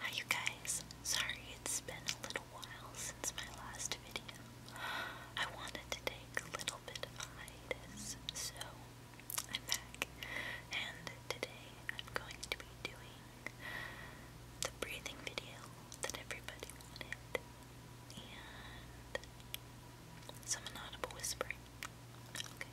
Hi you guys, sorry it's been a little while since my last video. I wanted to take a little bit of hiatus, so I'm back. And today I'm going to be doing the breathing video that everybody wanted. And some inaudible whispering. Okay.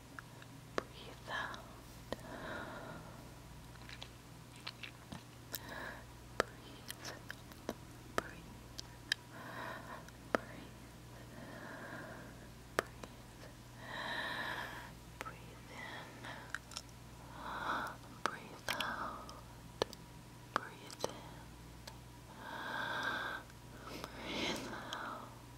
breathe out. Breathe, breathe, breathe, breathe, breathe in, breathe out, breathe in, breathe out,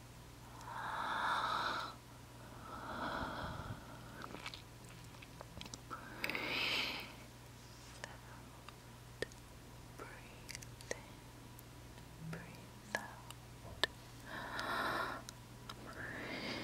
Breathe out, breathe in, breathe out. Breathe. Breathe.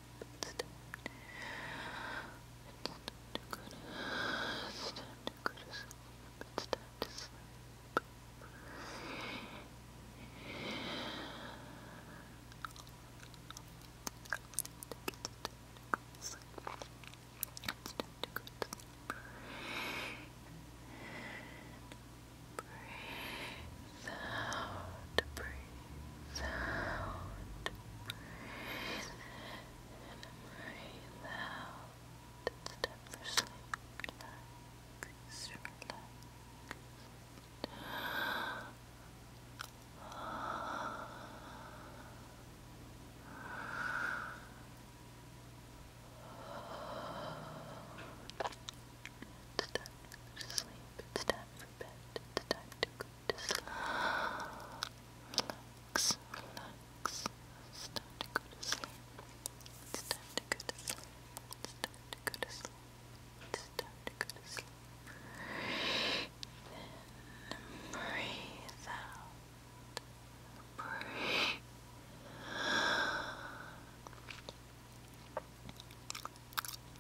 It's time. It's time to go to It's time to go to sleep. It's time to sleep. It's time to go to sleep. It's time to go to sleep. And breathe out, breathe sound. Breathe in and breathe out. It's time for sleep. Relax, relax. It's time for sleep, it's time for bed, it's time to go relax, relax. It's time to go to sleep. It's time to go to sleep. It's time to go to sleep. It's time to go to sleep. Then breathe out. Breathe.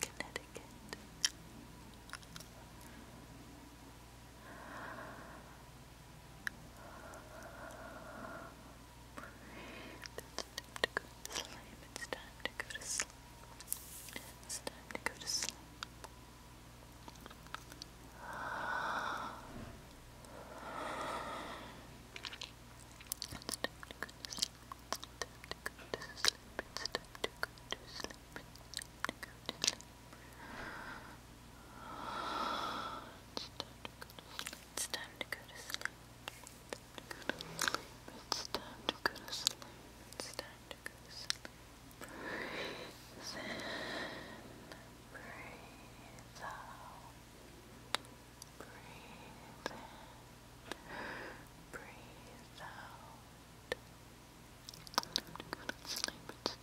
Connecticut. It's time to go to sleep. It's time to go to sleep. It's time to go to sleep. It's time to go to sleep it's time to go to sleep, it's time to go to sleep. It's time to go to sleep. It's time to go to sleep. It's time breathe out. Breathe in. Breathe out. I'm gonna sleep instead.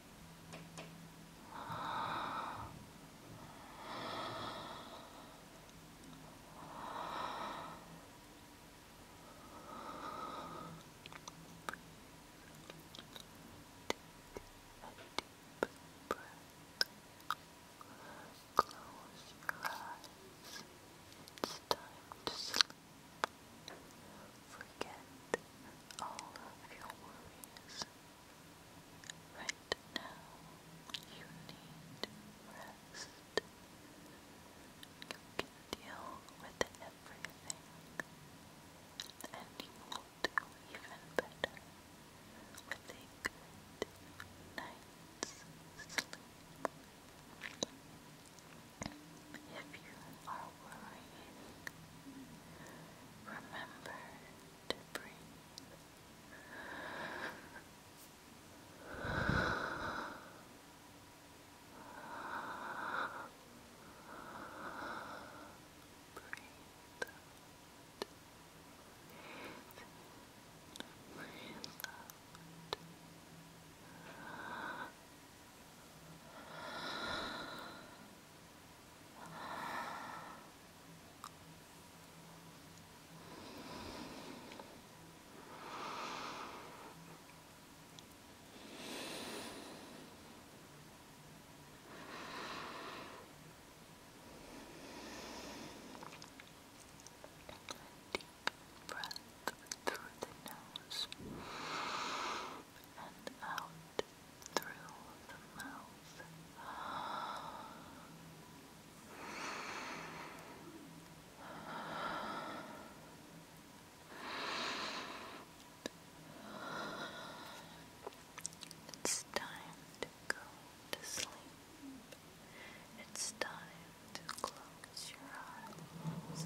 Close your eyes. It's time to Forget all of your worries. Right now, you need rest. You can deal with everything, and you will do even better with a good night's sleep. If you are worrying. Remember to breathe. Breathe. Breathe Deep breath through the nose and out it's time to go to sleep. It's time to close your eyes.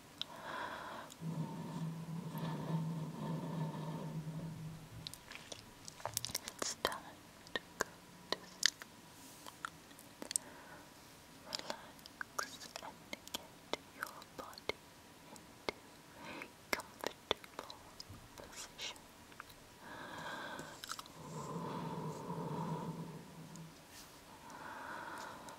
It's time to go to Relax and get your body into a comfortable position.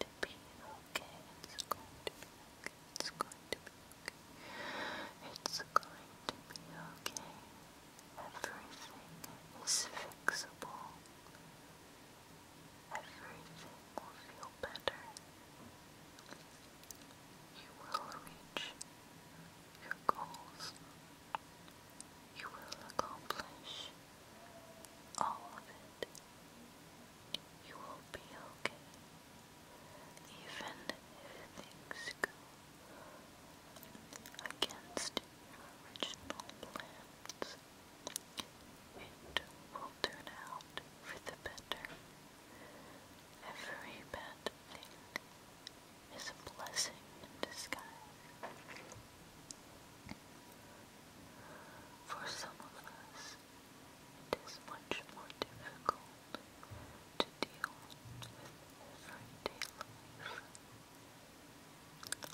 to be okay. It's going to be okay. It's going to be okay. It's going to be okay. Everything is fixable. Everything will feel better. You will reach your goals. You will accomplish all of it. You will be okay. Even if things go against original plans, it will turn out for the better. Every bad thing is a blessing in disguise. For some of us, it is much more difficult to deal with everyday life.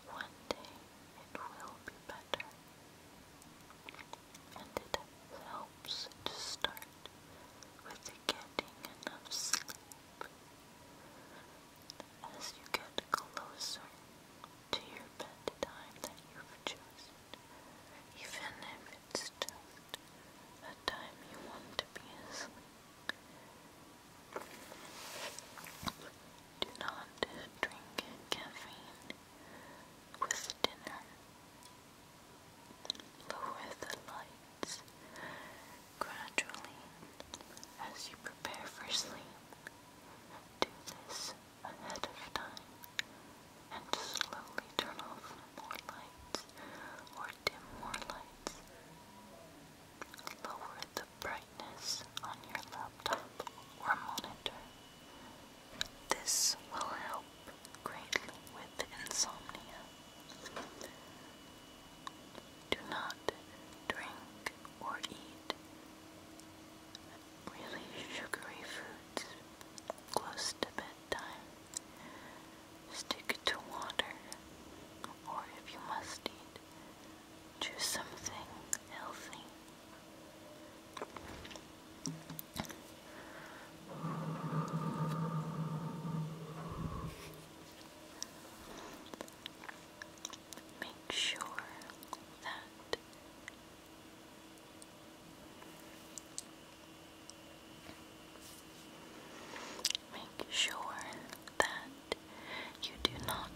One day it will be better, and it helps to start with getting enough sleep. As you get closer to your bedtime that you've chosen, even if it's just a time you want to be asleep. Do not drink caffeine with dinner. Lower the lights gradually as you prepare for sleep. Do this ahead of time and slowly turn off more lights or dim more lights. Lower the brightness on your laptop or monitor. This will help greatly with insomnia. Do not drink or eat really sugary foods close to bedtime. Stick to water, or if you must eat, choose something healthy. Make sure that Make sure that you do not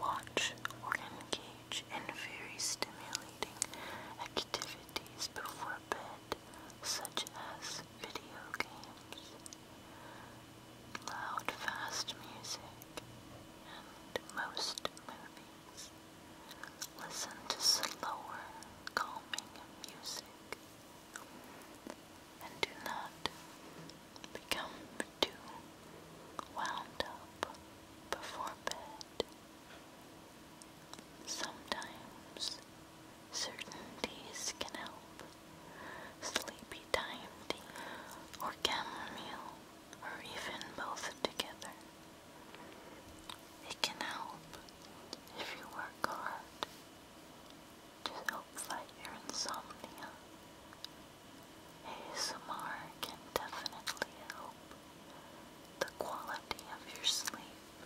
watch or engage in very stimulating activities before bed, such as video games, loud, fast music, most movies, listen to slower, calming music and do not become too wound up before bed. Sometimes certainties can help. Sleepy time tea or chamomile or even both together. It can help if you work hard to help fight your insomnia. ASMR can definitely help the quality of your sleep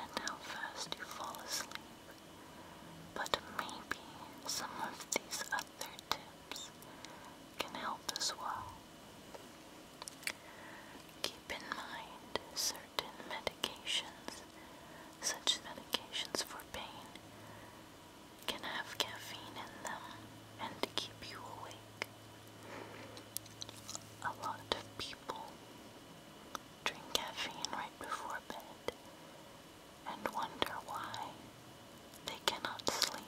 and how fast you fall asleep. But maybe some of these their tips can help as well. Keep in mind certain medications, such medications for pain, can have caffeine in them and keep you awake. A lot of people drink caffeine right before bed and wonder why they cannot sleep.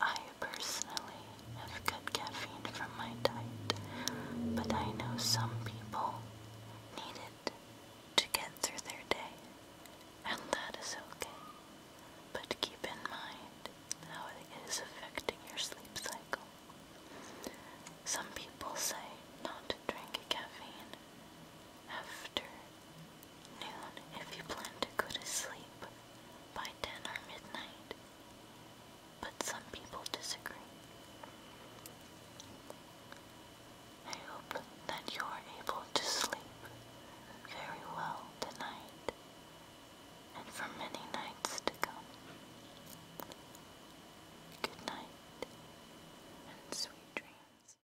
I personally have good caffeine from my diet, but I know some people need it to get through their day, and that is okay. But keep in mind how it is affecting your sleep cycle. Some people say not to drink caffeine after Noon if you plan to go to sleep by 10 or midnight. But some people disagree. I hope that you are able to sleep very well tonight and for many nights to come. Good night and sweet dreams.